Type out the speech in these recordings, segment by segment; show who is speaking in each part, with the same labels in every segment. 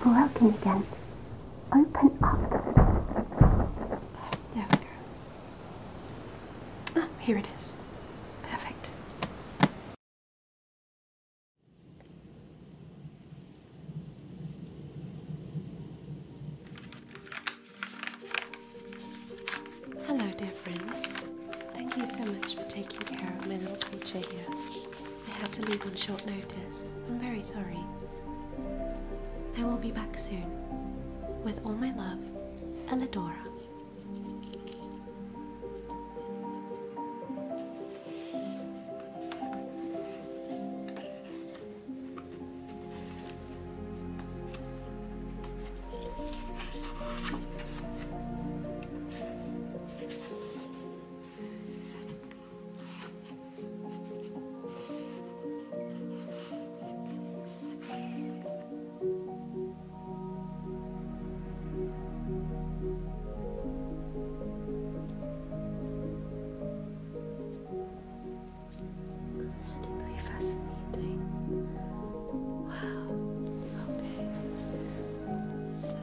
Speaker 1: broken again. Open up. There we go. Ah, here it is. Perfect. Hello, dear friend. Thank you so much for taking care of my little creature here. I had to leave on short notice. I'm very sorry. I will be back soon. With all my love, Elidora. Incredibly fascinating. Wow. Okay. So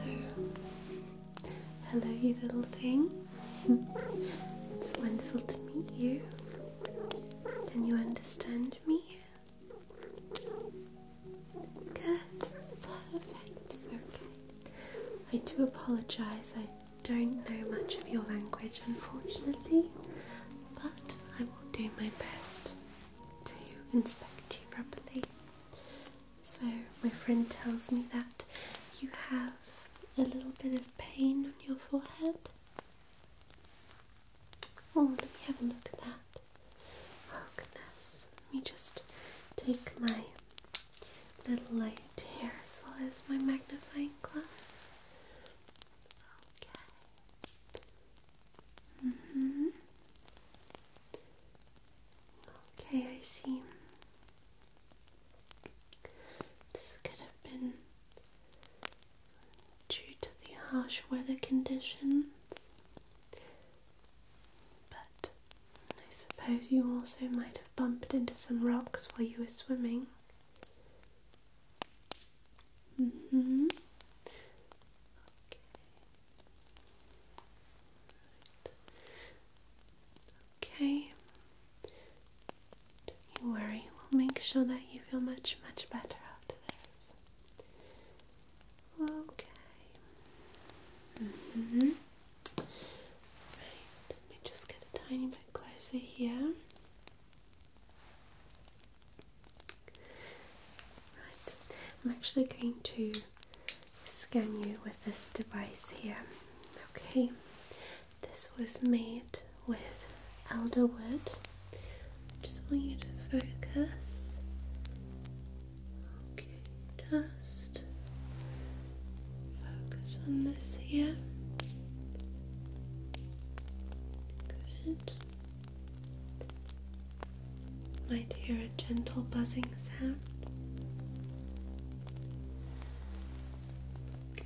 Speaker 1: Hello, you little thing. it's wonderful to meet you. Can you understand me? Good. Perfect. Okay. I do apologize. I don't know much of your language, unfortunately, but I will do my best to inspect you properly. So, my friend tells me that you have a little bit of pain on your forehead. Oh, let me have a look at that. Oh, goodness. Let me just take my little light here as well as my magnifying glass. Okay. hmm. Okay, I see. This could have been due to the harsh weather conditions, but I suppose you also might have bumped into some rocks while you were swimming. Mm hmm. Okay. Okay. Don't worry, we'll make sure that you feel much, much better after this. Okay. Mm-hmm. Right, let me just get a tiny bit closer here. Right, I'm actually going to scan you with this device here. Okay, this was made with elderwood. Just want you to focus. Okay, just focus on this here. Good might hear a gentle buzzing sound. Okay.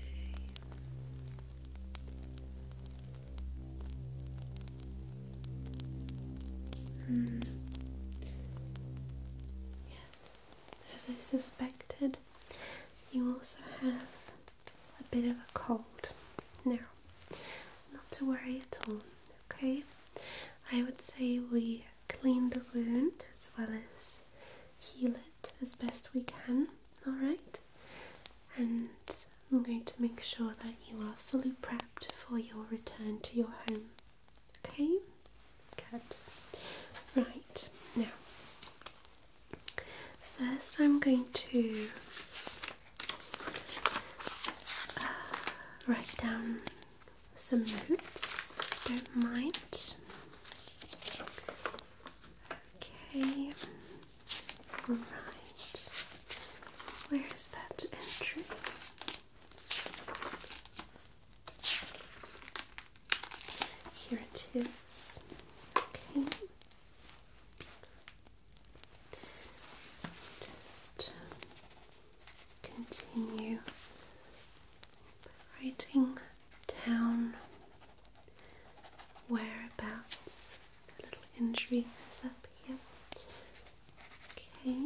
Speaker 1: Hmm. Yes, as I suspected, you also have a bit of a cold. Now, not to worry at all, okay? I would say we clean the wound as well as heal it as best we can, alright? And I'm going to make sure that you are fully prepped for your return to your home. Okay? Good. Right, now, first I'm going to uh, write down some notes, don't mind. Okay, right. Where is that entry? Here it is. Okay. Just continue writing down whereabouts A little injury is up here. Okay.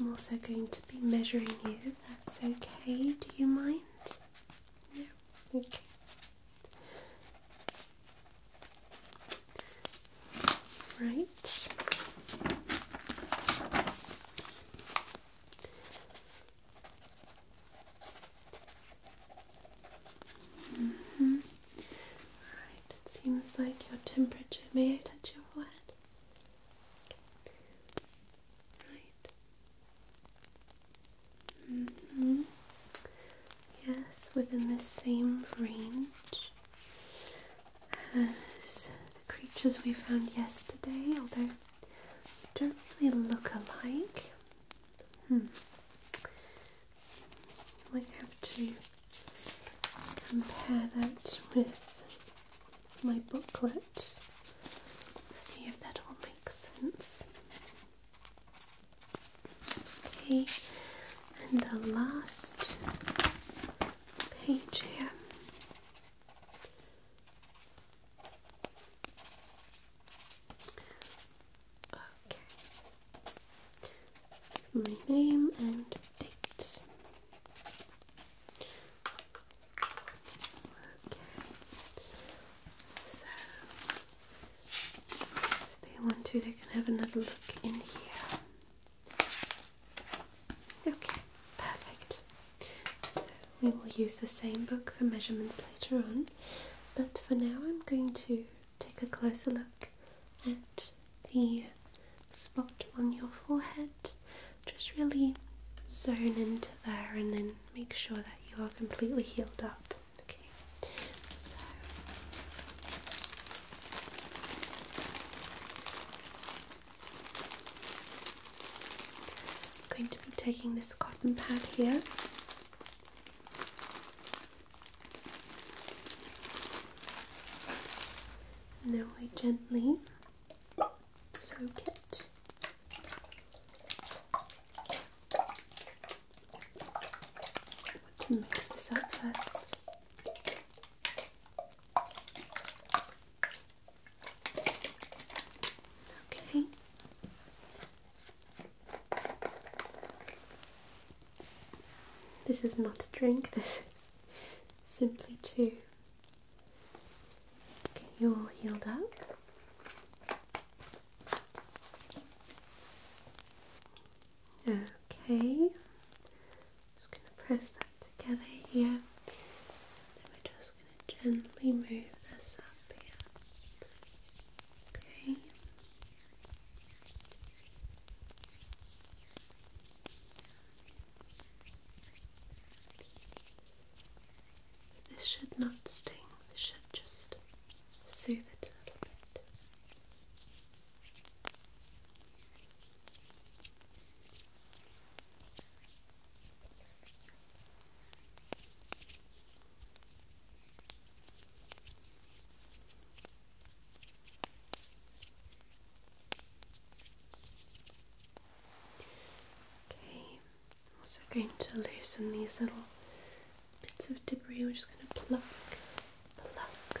Speaker 1: I'm also going to be measuring you, that's okay. Do you mind? No? Okay. Right. -hmm. Right. It seems like your temperature. May I touch your forehead? Right. -hmm. Yes, within the same range as the creatures we found yesterday, although they don't really look alike. Hmm. Might have to compare that with my booklet. See if that all makes sense. Okay, and the last page here. Okay. My name and date. Okay. So if they want to, they can have another look in here. Okay, perfect. So we will use the same book for measurements later on, but for now I'm going to take a closer look at the spot on your forehead. Just really zone into there and then make sure that you are completely healed up. Okay, I'm going to be taking this cotton pad here. And then we gently soak it. I mix this up first. Okay. This is not a drink, this is simply to get you all healed up. Okay, just gonna press that together here. Then we're just gonna gently move this up here. Okay. This should not sting, this should just soothe it a little bit. Okay, I'm also going to loosen these little bits of debris. We're just going to pluck, pluck,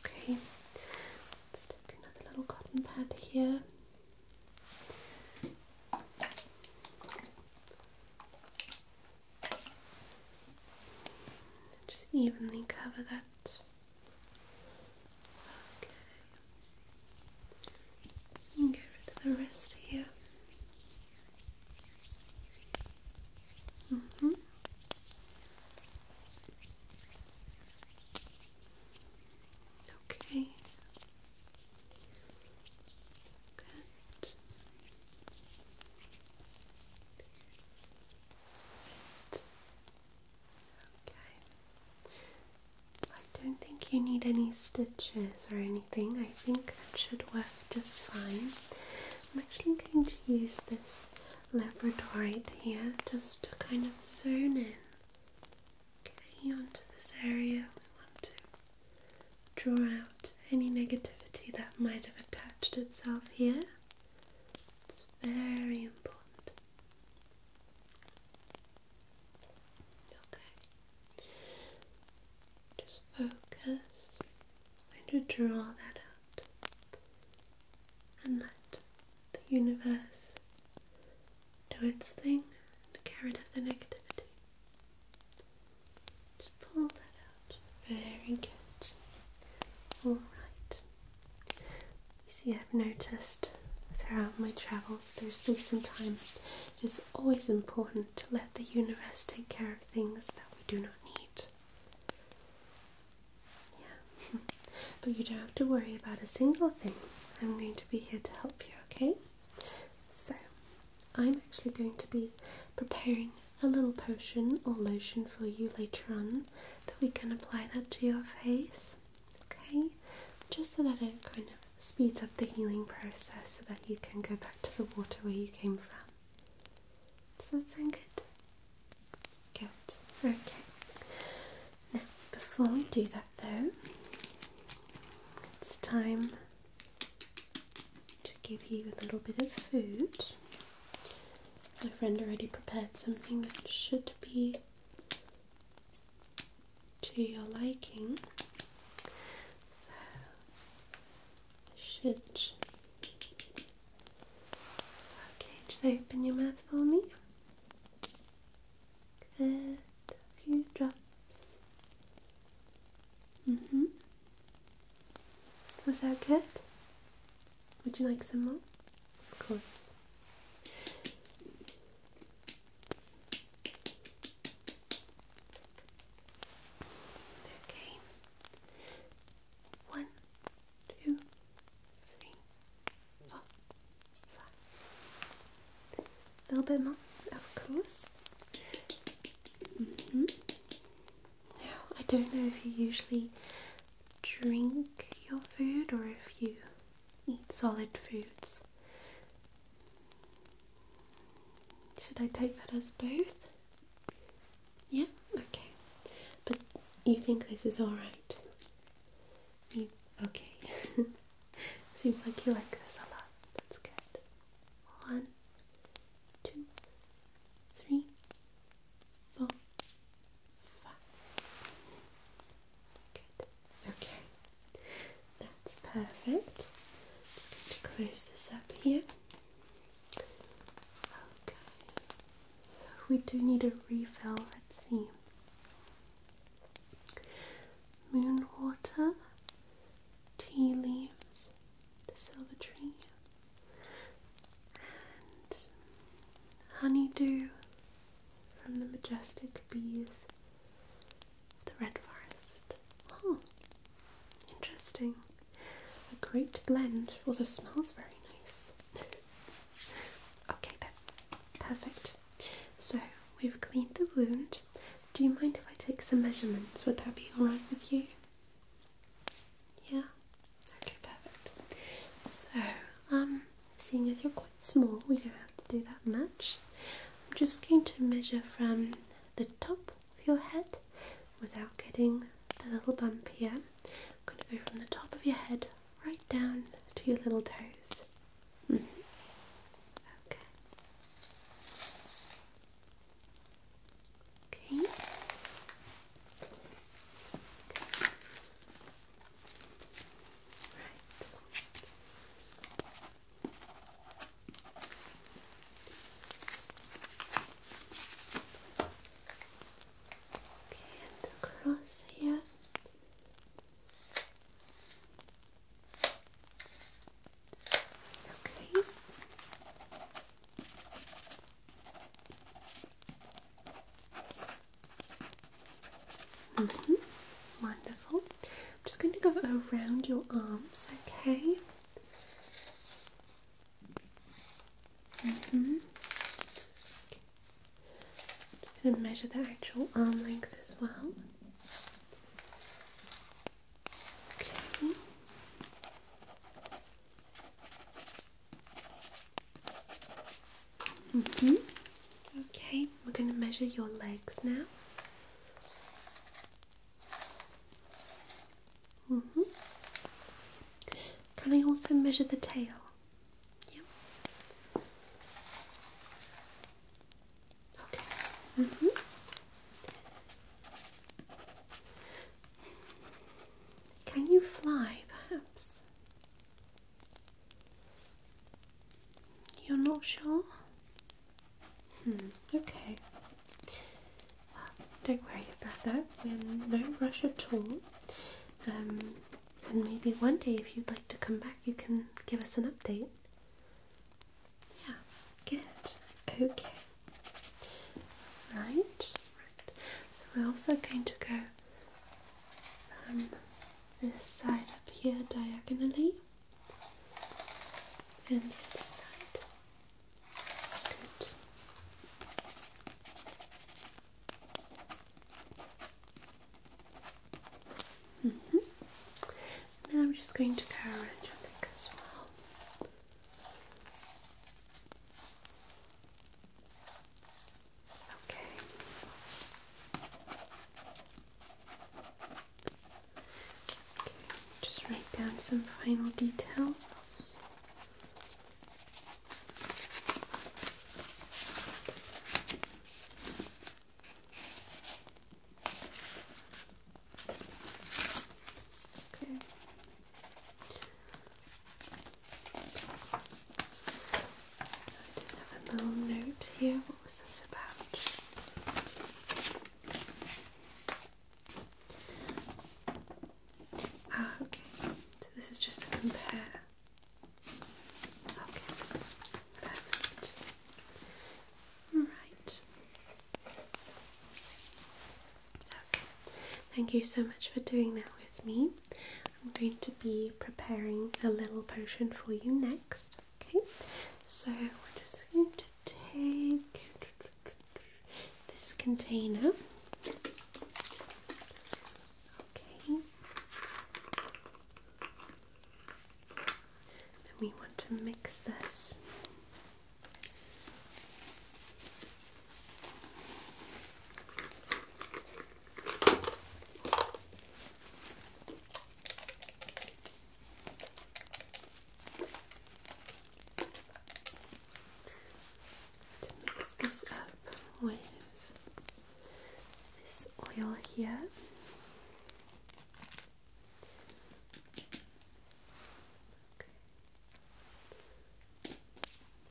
Speaker 1: Okay, let's take another little cotton pad here. Just evenly cover that. Okay. You get rid of the rest here. Mm -hmm. Okay. Good. Good. Okay. I don't think you need any stitches or anything. I think that should work just fine. I'm actually going to use this labradorite here just to kind of zone in okay, onto this area. We want to draw out any negativity that might have attached itself here. It's very important. Okay. Just focus. I'm to draw that out and let the universe do its thing and get rid of the negativity. Just pull that out. Very good. Alright. You see, I've noticed throughout my travels through space and time, it is always important to let the universe take care of things that we do not need. Yeah. but you don't have to worry about a single thing. I'm going to be here to help you, okay? So, I'm actually going to be preparing a little potion or lotion for you later on that we can apply that to your face, okay? Just so that it kind of speeds up the healing process so that you can go back to the water where you came from. Does that sound good? Good. Okay. Now, before we do that though, it's time to give you a little bit of food. My friend already prepared something that should be to your liking. So, should Okay, just open your mouth for me. Good. A few drops. Mm-hmm. Was that good? Would you like some more? Of course. Okay. One, two, three, four, five. A little bit more, of course. Mm-hmm. Now, I don't know if you usually drink your food or if you eat solid foods. Should I take that as both? Yeah, okay. But you think this is alright? okay. Seems like you like this a lot. That's good. One, two, three, four, five. Good. Okay. That's perfect. Just going to close this up here. Okay we do need a refill. Let's see. Moon water, tea leaves, the silver tree, and honeydew from the majestic bees of the red forest. interesting. A great blend. Also smells very nice. Okay then, perfect. So we've cleaned the wound. Do you mind if I take some measurements? Would that be alright with you? Yeah? Okay, perfect. So, um, seeing as you're quite small, we don't have to do that much. I'm just going to measure from the top of your head without getting the little bump here. I'm going to go from the top of your head right down to your little toes. Okay. Okay. Right. Okay, and across here. Okay. -hmm. Wonderful. I'm just going to go around your arms, okay? Mm-hmm. I'm going to measure the actual arm length as well. Okay. hmm. Okay, we're going to measure your legs now. hmm. Can I also measure the tail? Yeah. Okay. Mm -hmm. Can you fly, perhaps? You're not sure? Hmm, okay. Well, don't worry about that. We're no rush at all. Um, and maybe one day, if you'd like to come back, you can give us an update. Yeah, good. Okay. Right, So we're also going to go um, this side up here diagonally and the other side. Good. Mm Now I'm just going to go it your as well. Okay. okay. Just write down some final details. Okay. I did have a little note here. What was this about? Ah, okay. So this is just to compare Right. thank you so much for doing that with me. I'm going to be preparing a little potion for you next. Okay, so we're just going to take this container Okay. we want to mix this. mix this up with this oil here.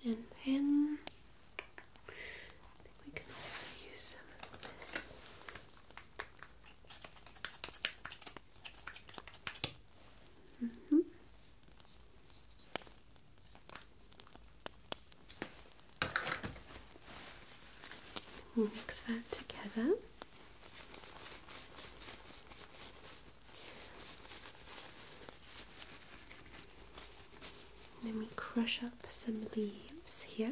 Speaker 1: And then we can also use some of this. Mm -hmm mix that together. Let me crush up some leaves here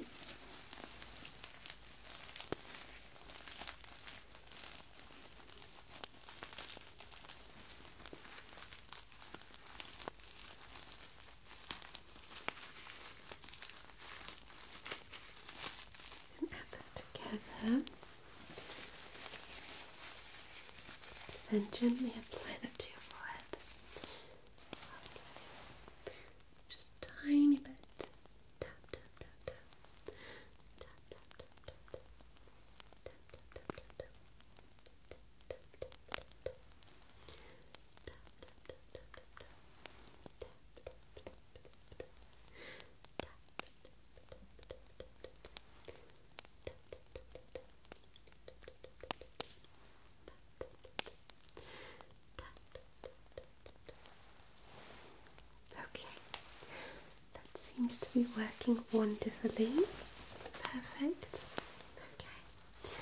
Speaker 1: and add that together. Then gently apply that to your forehead. Just a tiny bit. Okay, that seems to be working wonderfully. Perfect. Okay,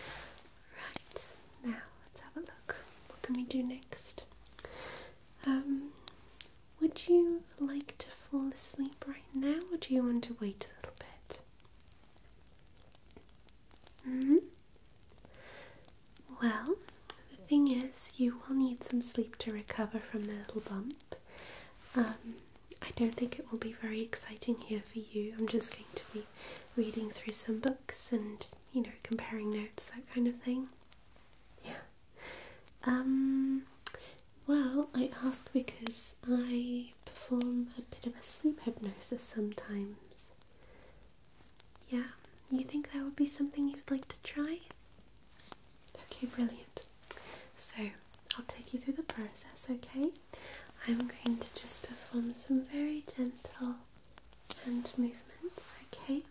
Speaker 1: Right, now let's have a look. What can we do next? Um, would you like to fall asleep right now or do you want to wait a little bit? hmm Well, the thing is, you will need some sleep to recover from the little bump. Um, I don't think it will be very exciting here for you. I'm just going to be reading through some books and you know comparing notes, that kind of thing. Yeah. Um. Well, I ask because I perform a bit of a sleep hypnosis sometimes. Yeah, you think that would be something you'd like to try? Okay, brilliant. So I'll take you through the process, okay? I'm going to just perform some very gentle hand movements, okay?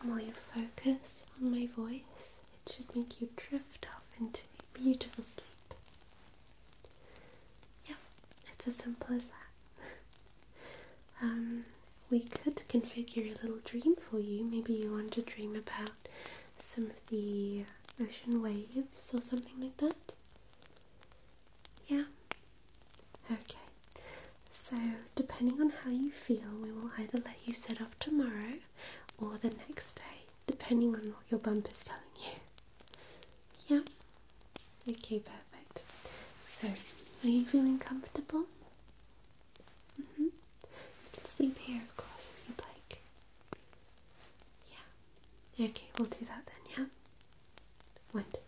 Speaker 1: And while you focus on my voice, it should make you drift off into beautiful sleep. Yeah, it's as simple as that. um, we could configure a little dream for you. Maybe you want to dream about some of the ocean waves or something like that. Yeah? Okay. So, depending on how you feel, we will either let you set off tomorrow or the next day, depending on what your bump is telling you. Yeah? Okay, perfect. So, are you feeling comfortable? Mm hmm. You can sleep here, of course, if you'd like. Yeah. Okay, we'll do that then, yeah? Wonderful.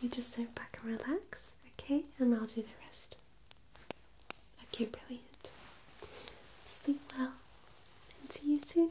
Speaker 1: You just sit back and relax, okay? And I'll do the rest. Okay, brilliant. Sleep well and see you soon.